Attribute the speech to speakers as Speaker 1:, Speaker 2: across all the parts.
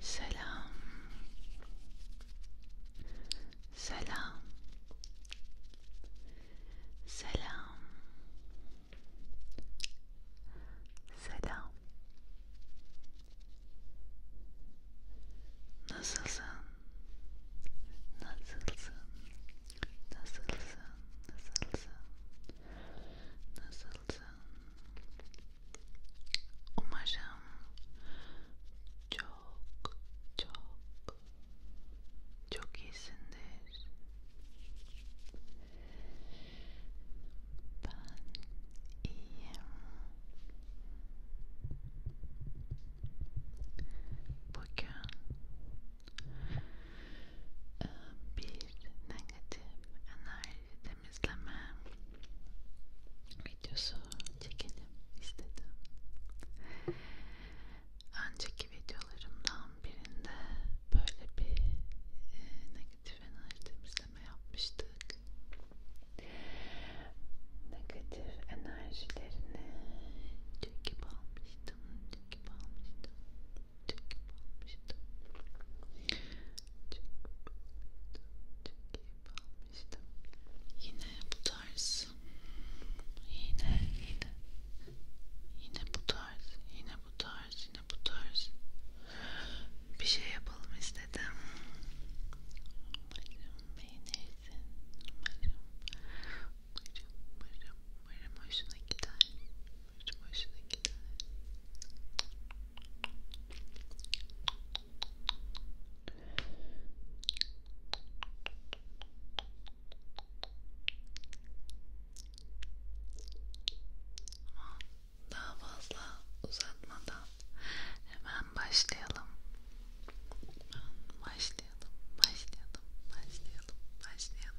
Speaker 1: Selam. Selam. Selam. Selam. Nasılsın? Nasılsın? Nasılsın? Nasılsın? Nasılsın? Umarım çok çok çok iyisindir. Ben iyiyim. Bugün bir negatif enerjiden temizleme videosu çekelim istedim. Önceki videolarımdan birinde böyle bir e, negatif enerji temizleme yapmıştık. Negatif enerjilerini çekip almıştım, çekip almıştım çekip almıştım çekip almıştım çekip almıştım yine bu tarz yine yine yine bu tarz yine bu tarz yine bu tarz bir şey yapalım istedim umarım beğenirsin umarım umarım umarım umarım hoşuna gider hiç hoşuna gider. Ama daha fazla uzatmadan hemen başlayalım. Başlayalım, başlayalım, başlayalım, başlayalım.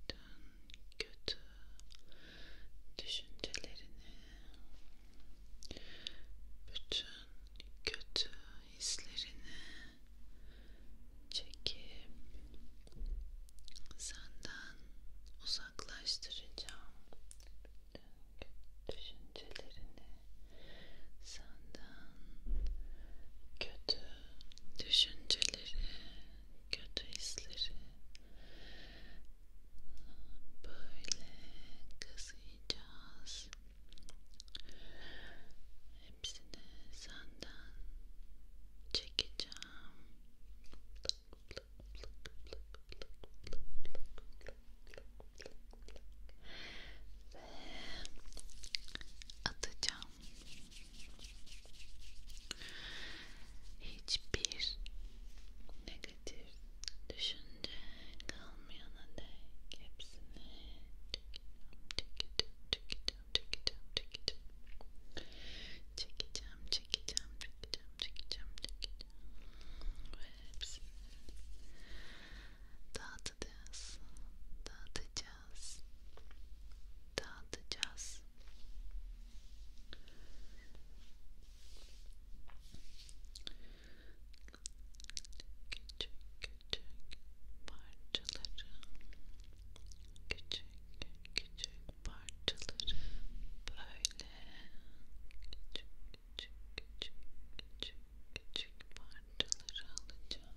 Speaker 1: bütün kötü düşüncelerini, bütün kötü hislerini çekip senden uzaklaştıracağım. Bütün düşüncelerini senden kötü düşünceleri, kötü hisleri böyle kazıyacağız. Hepsini senden çekeceğim. Ve atacağım. Hiçbir negatif düşünce kalmayana dek hepsini tüketiyorum, tüketiyorum, tüketiyorum, tüketiyorum, çekeceğim, çekeceğim, çekeceğim, çekeceğim, çekeceğim ve hepsini dağıtacağız, dağıtacağız biraz dağıtacağız. Küçük küçük parçaları, küçük küçük parçaları böyle küçük küçük küçük küçük küçük parçaları alacağım.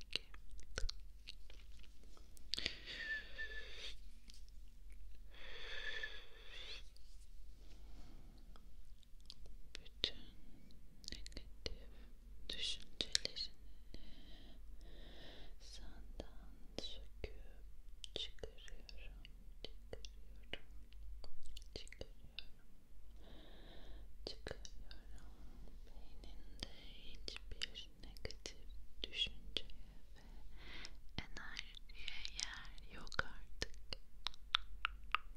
Speaker 1: bütün negatif düşüncelerini senden söküp çıkarıyorum, çıkarıyorum, çıkarıyorum çıkarıyorum. Beyninde hiçbir negatif düşünceye ve enerjiye yer yok artık. Çok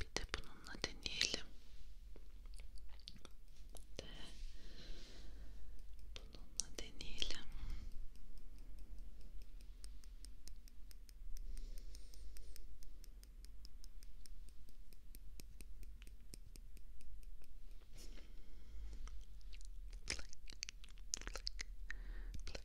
Speaker 1: Bir de bununla deneyelim. De bununla deneyelim. Plak, plak, plak,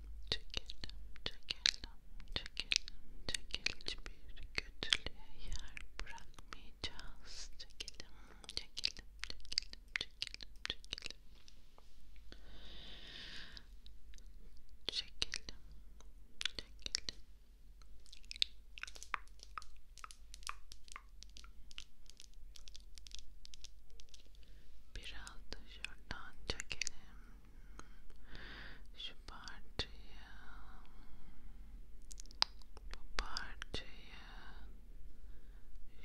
Speaker 1: çekelim, çekelim, çekelim, çekelim. Hiçbir kötülüğe yer bırakmayacağız. Çekelim, çekelim, çekelim, çekelim, çekelim. Çekelim, çekelim. Biraz da şuradan çekelim şu parçayı bu parçayı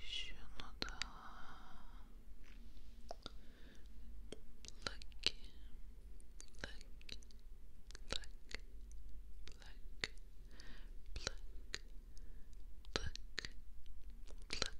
Speaker 1: şunu da Lucky, lucky, lucky, lucky, lucky, lucky, lucky,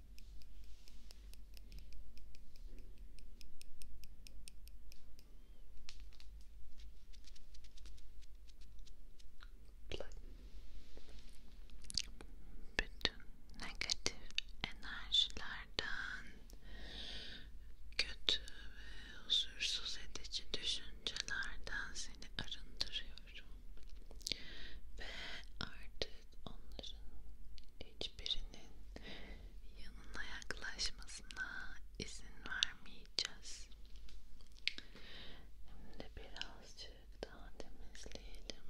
Speaker 1: bütün negatif enerjilerden kötü ve huzursuz edici düşüncelerden seni arındırıyorum ve artık onların hiçbirinin yanına yaklaşmasına izin vermeyeceğiz. Hem de birazcık daha temizleyelim.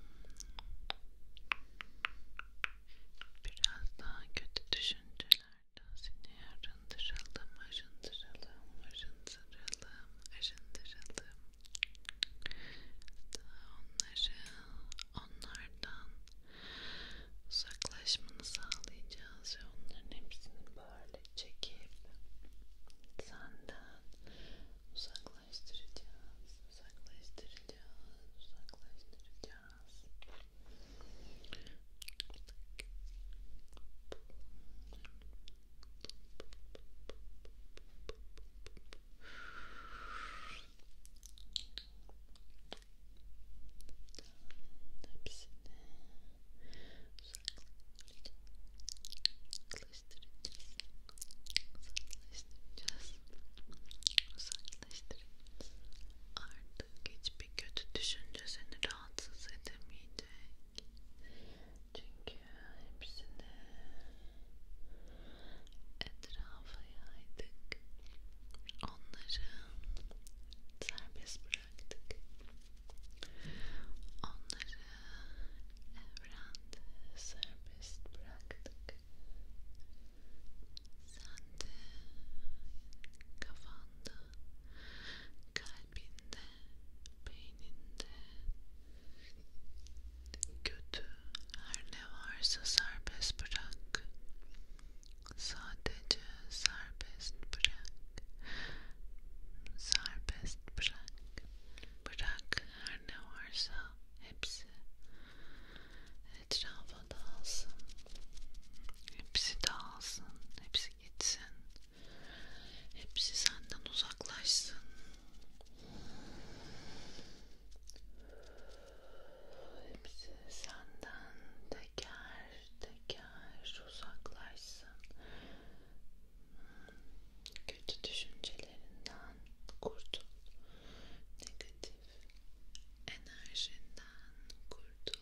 Speaker 1: Biraz daha kötü düşüncelerden seni arındıralım, arındıralım, arındıralım, arındıralım. Daha onları onlardan uzaklaşmanı sağlayacağız ve onların hepsini böyle çekip senden uzaklaştıracağız, uzaklaştıracağız, uzaklaştıracağız. Çok hepsini uzaklaştıracağız uzaklaştıracağız uzaklaştıracağız artık hiçbir kötü düşünce seni rahatsız edemeyecek çünkü hepsini etrafı yaydık. Onları eh, serbest bıraktık. Onları eh, evrende eh, serbest bıraktık. Sen de kafanda, kalbinde, beyninde Kötü her ne varsa serbest bırak. Sadece serbest bırak. Serbest bırak. Bırak her ne varsa hepsi etrafa dağılsın. Hepsi dağılsın. Hepsi gitsin. Hepsi senden uzaklaşsın. Hepsi senden teker teker uzaklaşsın. Kötü düşüncelerinden kurtul. Negatif enerjinden kurtul.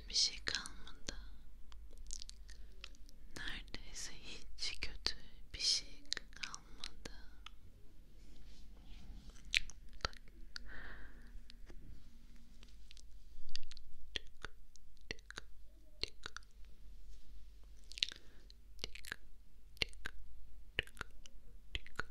Speaker 1: kötü bir şey kalmadı. Neredeyse hiç kötü bir şey kalmadı. Bak. Tık, tık, tık. Tık, tık, tık, tık.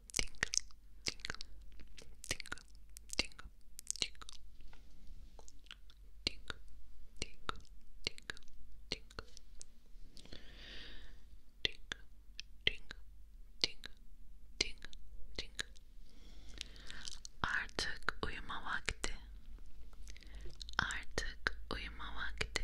Speaker 1: tingle, tingle, tingle, tingle, tingle, tingle, tingle, tingle, tingle, tingle, tingle, tingle, tingle, tingle. Artık uyuma vakti. Artık uyuma vakti.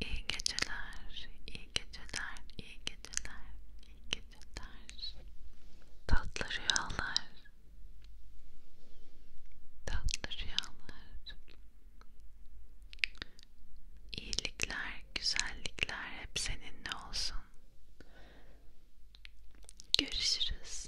Speaker 1: İyi geceler, iyi geceler, iyi geceler, iyi geceler. Tatlı rüyalar. Tatlı rüyalar. İyilikler, güzellikler hep seninle olsun. Görüşürüz.